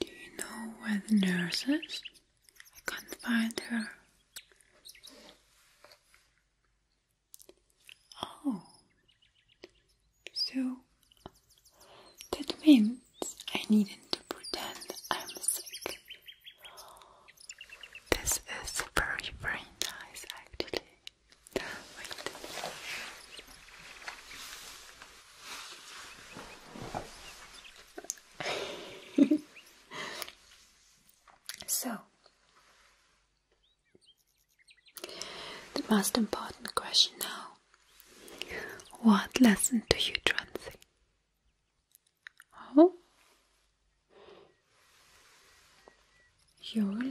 Do you know where the nurse is? I can't find her. Oh, so that means I need to pretend I'm sick. This is very, very nice actually. so, the most important question now what lesson do you translate? Oh, you're really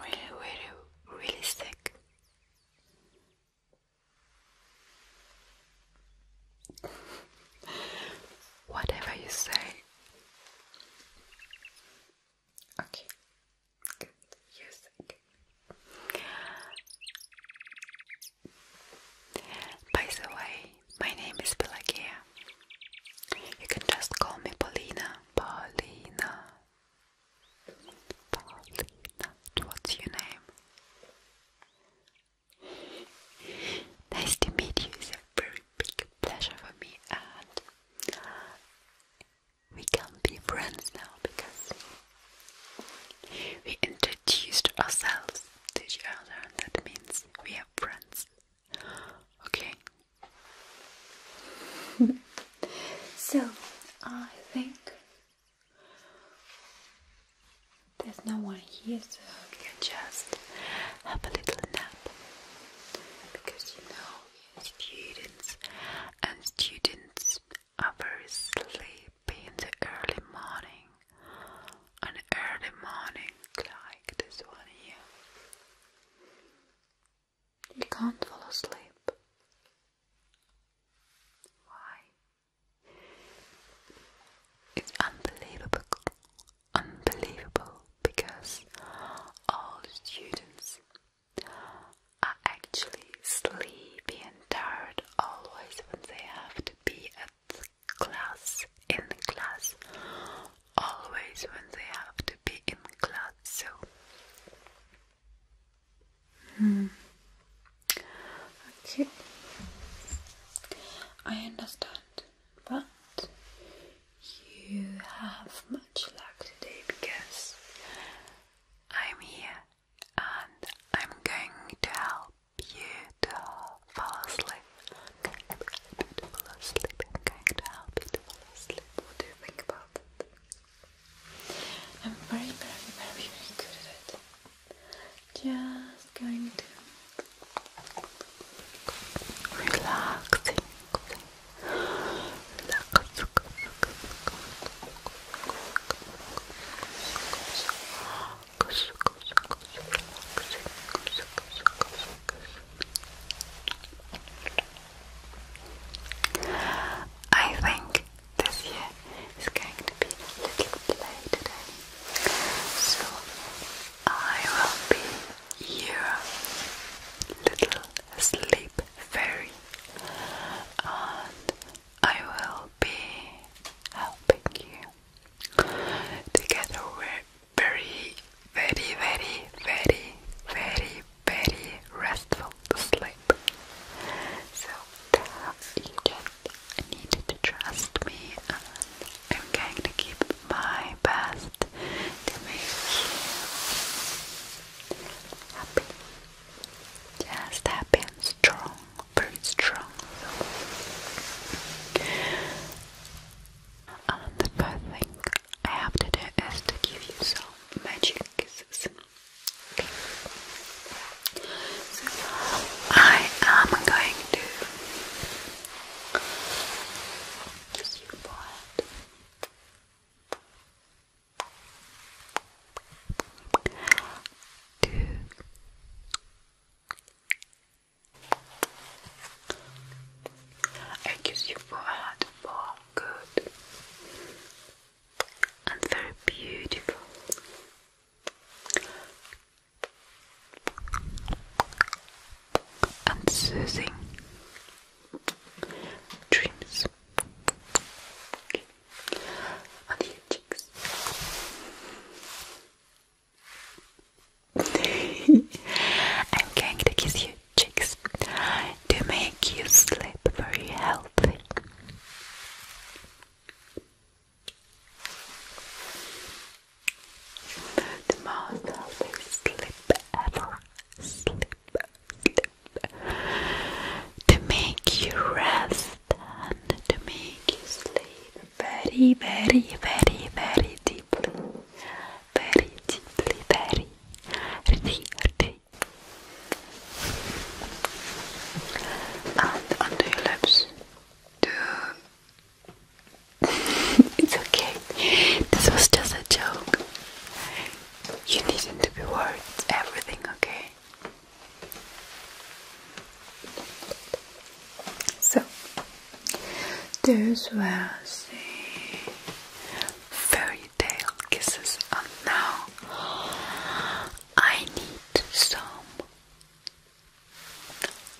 Really, really, really sick. Whatever you say. Okay. By the way, my name is Pelagia. You can just call me Paulina. Paulina. Paulina. What's your name? Nice to meet you. It's a very big pleasure for me, and we can be friends now because we introduced ourselves to each other, that means we are friends. Okay. so, I think there's no one here, so we can just have a little nap. Because you know, students, and students are very sleepy be the early morning, an early morning like this one here. You can't fall asleep. Why? It's unbelievable, unbelievable because all the students are actually sleepy and tired always when they have to be at class, in class, always when they have to be in class. So, hmm. okay, I understand, but you have much luck today because I'm here and I'm going to help beautiful sleep. Okay, beautiful sleep. I'm going beautiful sleep. What do you think about it? I'm very, very, very, very good at it. Just going to relaxing, relax. I think this year is going to be a little play today, so I will be your little sleep fairy, and I will be helping you Together we're very, very, very, very, very, very restful to sleep. So you just need to trust me and I'm going to keep my best to make you happy. Just happy and strong very strong. And the first thing I have to do is to give you some magic kisses. Okay. So I am going to kiss your forehead. Two, I kiss your forehead for good and very beautiful. And soothing dreams. And your cheeks. I'm going to kiss you cheeks to make you sleep very healthy. The most healthy sleep ever. Sleep, sleep. To make you rest and to make you sleep very, very, very, very deeply. Very deeply, very deeply. And under your lips. it's okay. This was just a joke. You needn't be worried. Everything okay. So, those were the fairy tale kisses, and now I need some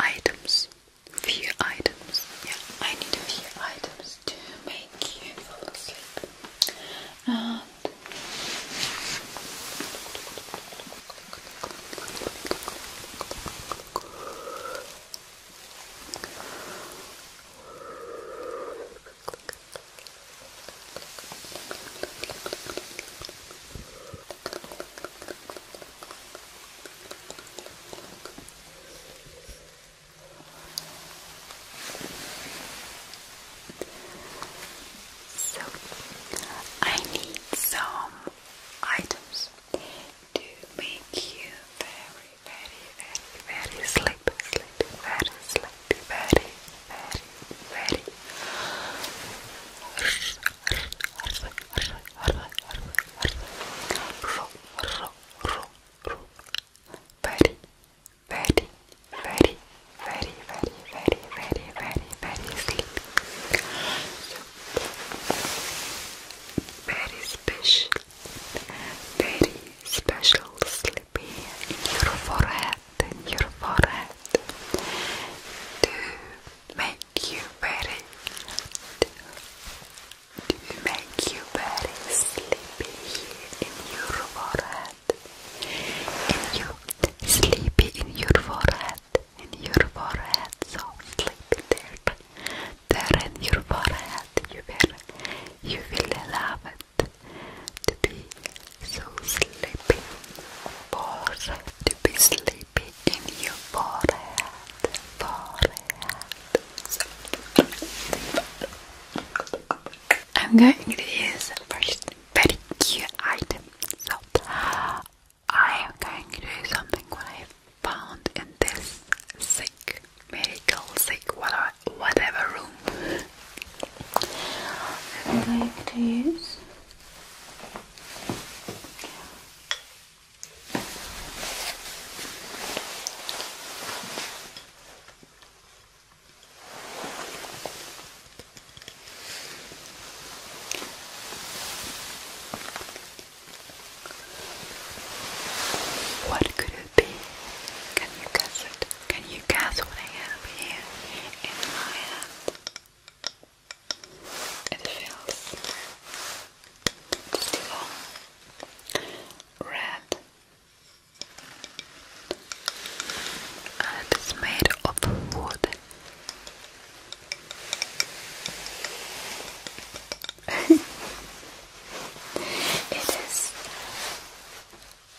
items, few items. Yeah, I need a few items to make you fall asleep. So, I need some items to make you very, very, very, very sleepy, sleepy, very sleepy, very, very, very, very, very, very, very, very sleepy. So, very special, very special sleepy in your forehead, in your forehead to make you very, to, to make you very sleepy in your forehead. In you sleepy in your forehead in your forehead, so sleepy there, there in your forehead, you will, you will love it to be so sleepy, balls to be sleepy in your forehead, forehead. I'm going to use first very cute item, so I am going to do something what I found in this sick, medical sick, whatever, whatever room. I'm what could it be? Can you guess it? Can you guess what I have here in my hand? It feels long, red, and it's made of wood. it is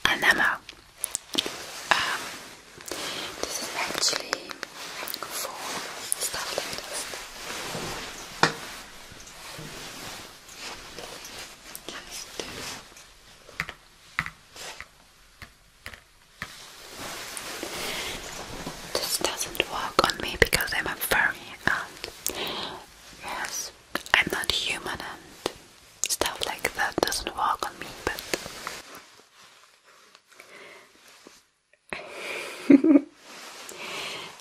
an um, this is actually for stuff like this. Just this doesn't work on me because I'm a furry and um, yes, I'm not human and stuff like that doesn't work on me, but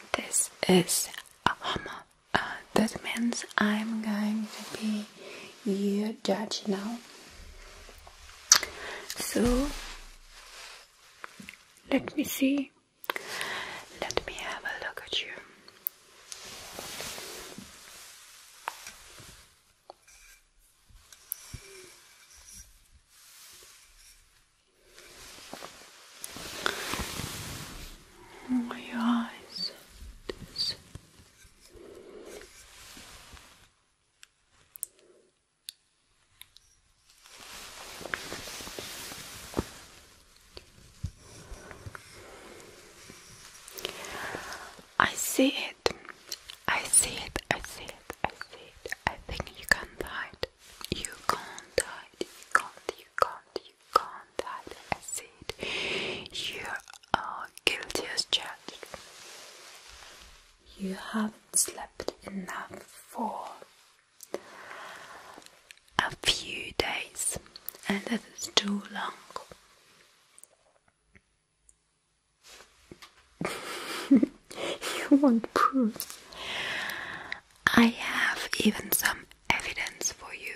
this is a hammer. Uh, that means I'm going to be your judge now. So let me see. Let me have a look at you. Oh, your eyes. I see it. I see it. I see it. I see it. I think you can't hide. You can't hide. You can't. You can't. You can't hide. I see it. You are guilty as charged you haven't slept enough for a few days, and that is too long. you want proof? I have even some evidence for you.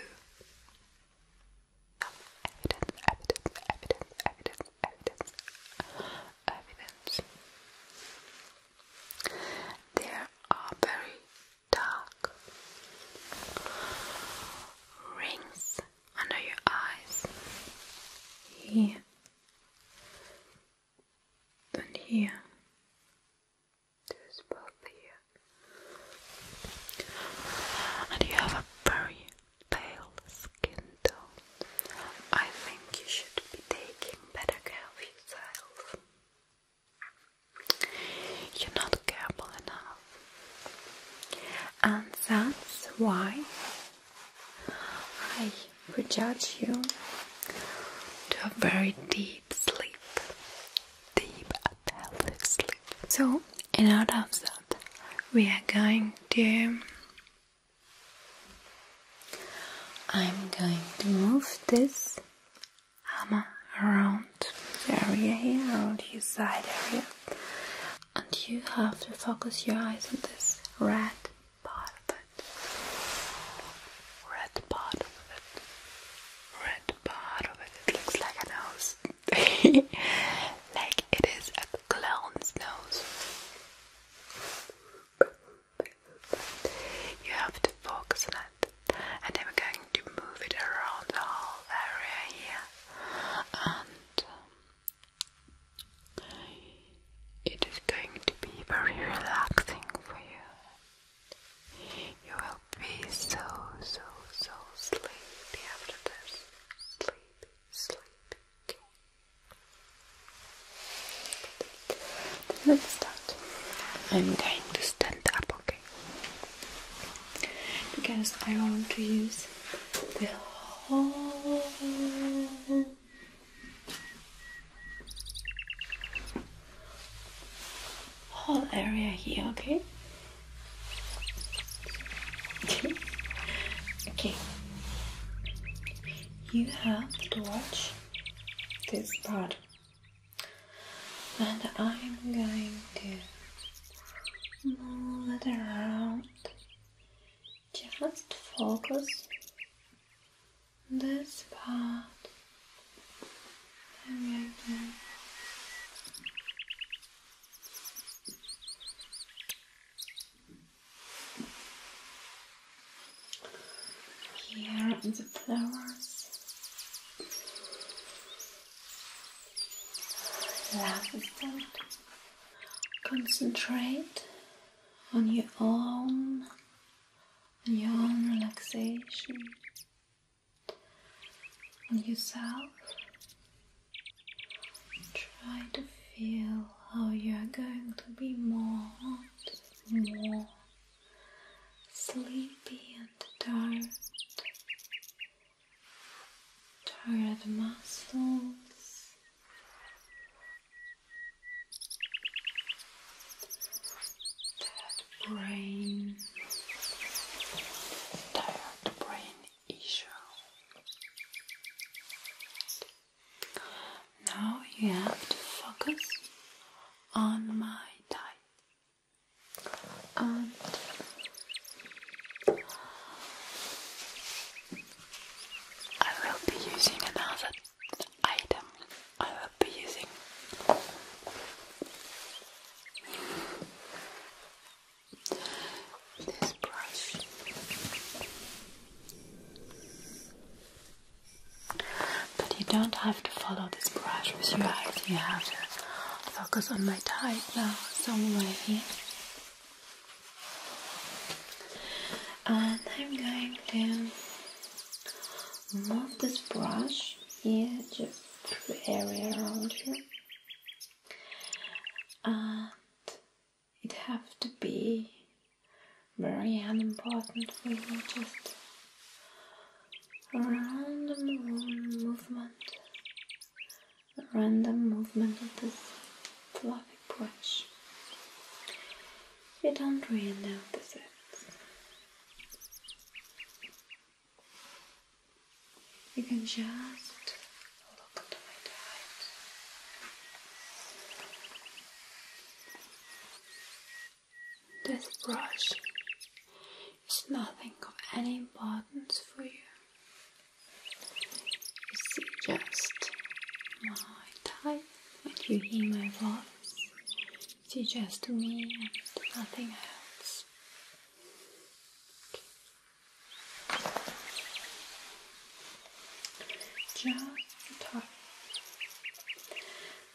Evidence, evidence, evidence, evidence, evidence. There are very dark rings under your eyes here and here. There's both here. And you have a very pale skin tone, I think you should be taking better care of yourself. You're not careful enough, and that's why I would judge you to a very deep sleep, deep and healthy sleep. So, in order of that, we are going to I'm going to move this hammer around the area here, around your side area, and you have to focus your eyes on this red part of it. Red part of it. Red part of it. It looks like a nose. like it is a clown's nose. You have to focus on it. And then we going to move it around the whole area And um, it is going to be very relaxing for you. You will be so, so, so sleepy after this. Sleepy, sleepy. Let's start. I'm going to stand up, okay? Because I want to use the whole whole area here, okay? okay. Okay. You have to watch this part, and I'm going to move it around. Just focus this part. I'm going to here in the flowers. Love is that. Concentrate on your own, on your own relaxation, on yourself. Try to feel how you are going to be more, more sleepy and tired. Tired muscles. Tired brain. Tired brain issue. Now you have to focus on my tie and I will be using another item. I will be using this brush. But you don't have to follow this brush with your eyes, you have to focus on my type now, somewhere here. And I'm going to move this brush here, just through the area around you. And it have to be very unimportant for you just random movement random movement of this fluffy brush you don't really notice it you can just this brush is nothing of any importance for you. You see just my tie when you hear my voice. It's just to me and nothing else. Just the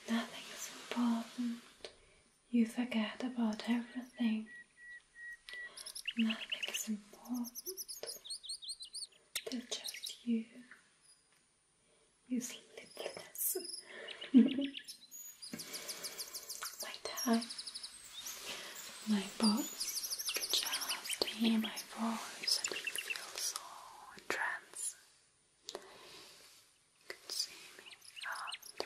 Nothing is important. You forget about everything. Nothing is important. They're just you. You sleepless. My time my boss can just hear my voice and he feels so entranced. You can see me out.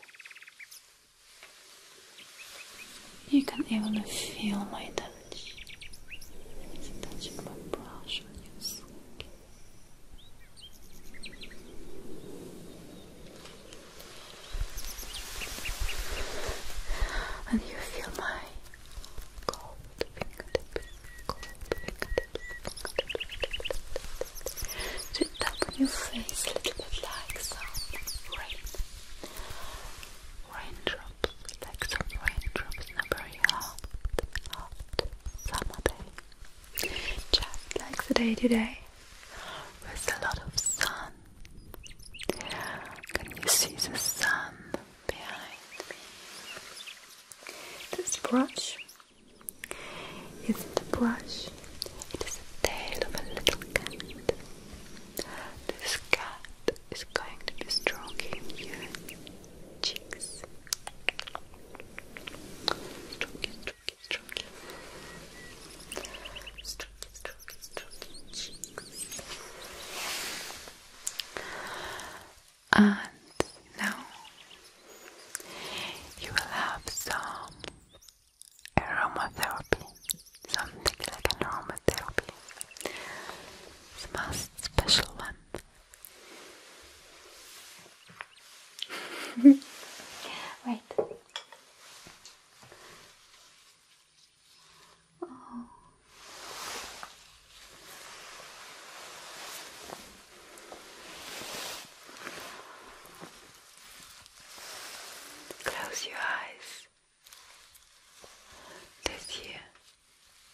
You can even feel my touch. It's touching my brush And you feel my cold fingertips, cold fingertips, fingertips. To tap on your face a little bit like some rain. Raindrops, like some raindrops in a very hot, hot summer day. Just like the day today, with a lot of sun. Can you see the sun behind me. This brush isn't a brush, it is the tail of a little cat. This cat is going to be stroking your cheeks. Stroking, stroking, stroking. Stroking, stroking, stroking cheeks. And now you will have some aromatherapy, something like an aromatherapy. the most uh, special one. Wait. Close your eyes. This year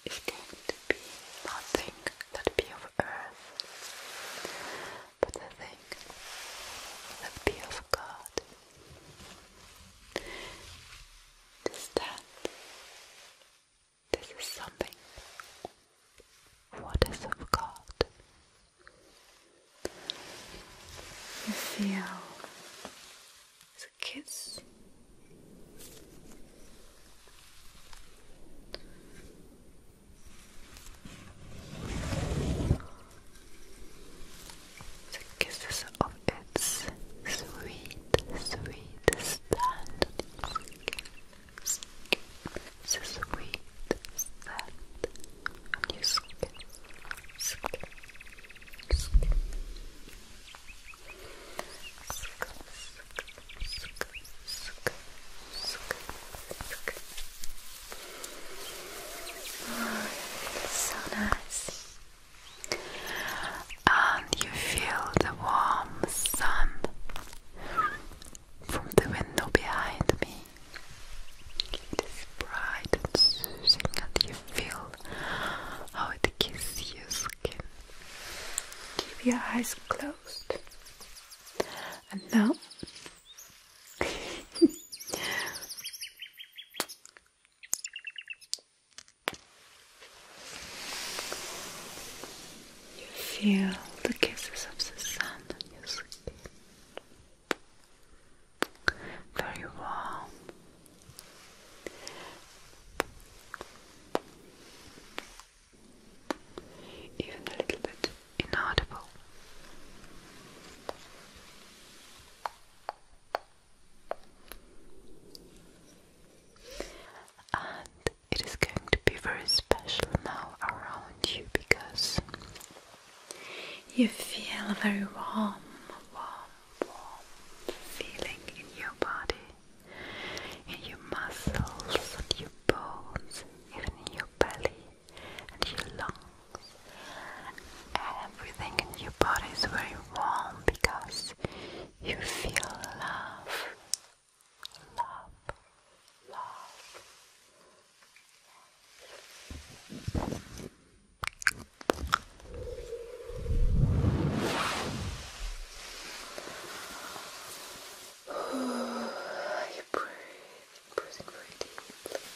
is going to be nothing that be of earth, but the thing that be of God. Does that? This is something what is of God. You feel the kiss the kisses of its sweet, sweet stand. The sweet stand on your skin. skin. skin. Oh, it's so nice and you feel the warm sun from the window behind me. It is bright and soothing, and you feel how it kisses your skin. Keep your eyes closed. And now You feel the kisses of the sun on your skin. Very warm. Even a little bit inaudible. And it is going to be very special now around you because you feel very warm, warm, warm feeling in your body, in your muscles, and your bones, even in your belly and your lungs everything in your body is very warm because you feel love, love, love. I breathe, breathing very deeply.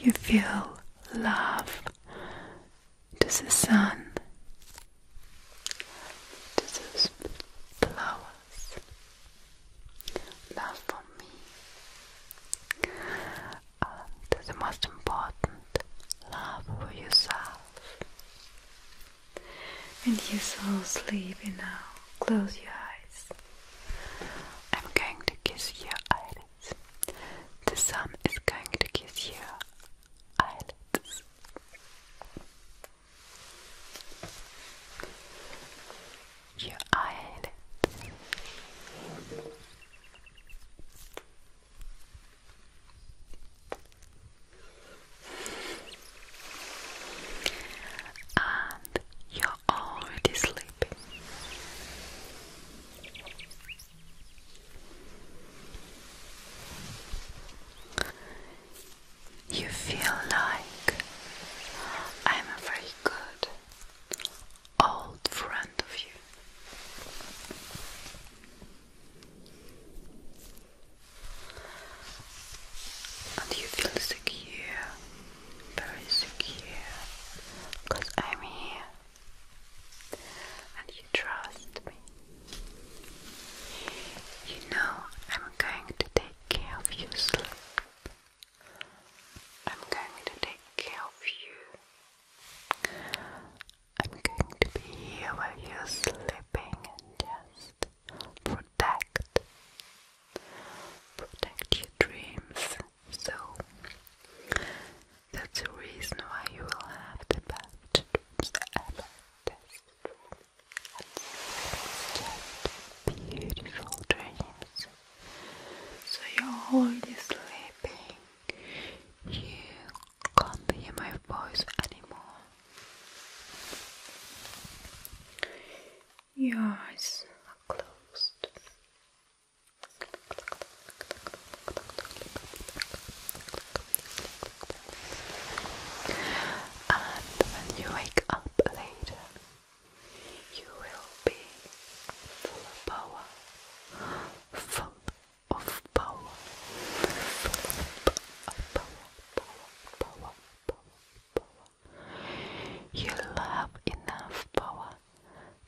You feel love this the sun this the flowers love for me the most important, love for yourself. And you're so sleepy now. Close your eyes. I'm going to kiss your eyelids. The sun is going to kiss your eyelids. Your eyelids. And you're already sleeping. You feel like I'm very good old friend of you. And you feel secure, very secure, because I'm here and you trust me. You know I'm going to take care of your sleep. I'm going to take care of you I'm going to be here while you're sleeping and just protect protect your dreams. So that's the reason why you will have the best dreams ever. Just beautiful dreams. So you're already sleeping you can't hear my voice anymore. Your eyes are closed. And when you wake up later, you will be full of power, You'll have enough power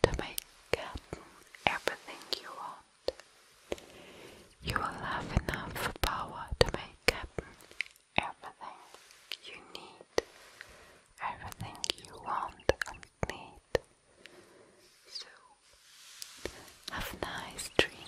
to make happen everything you want. You will have enough power to make happen everything you need, everything you want and need. So, have nice dreams.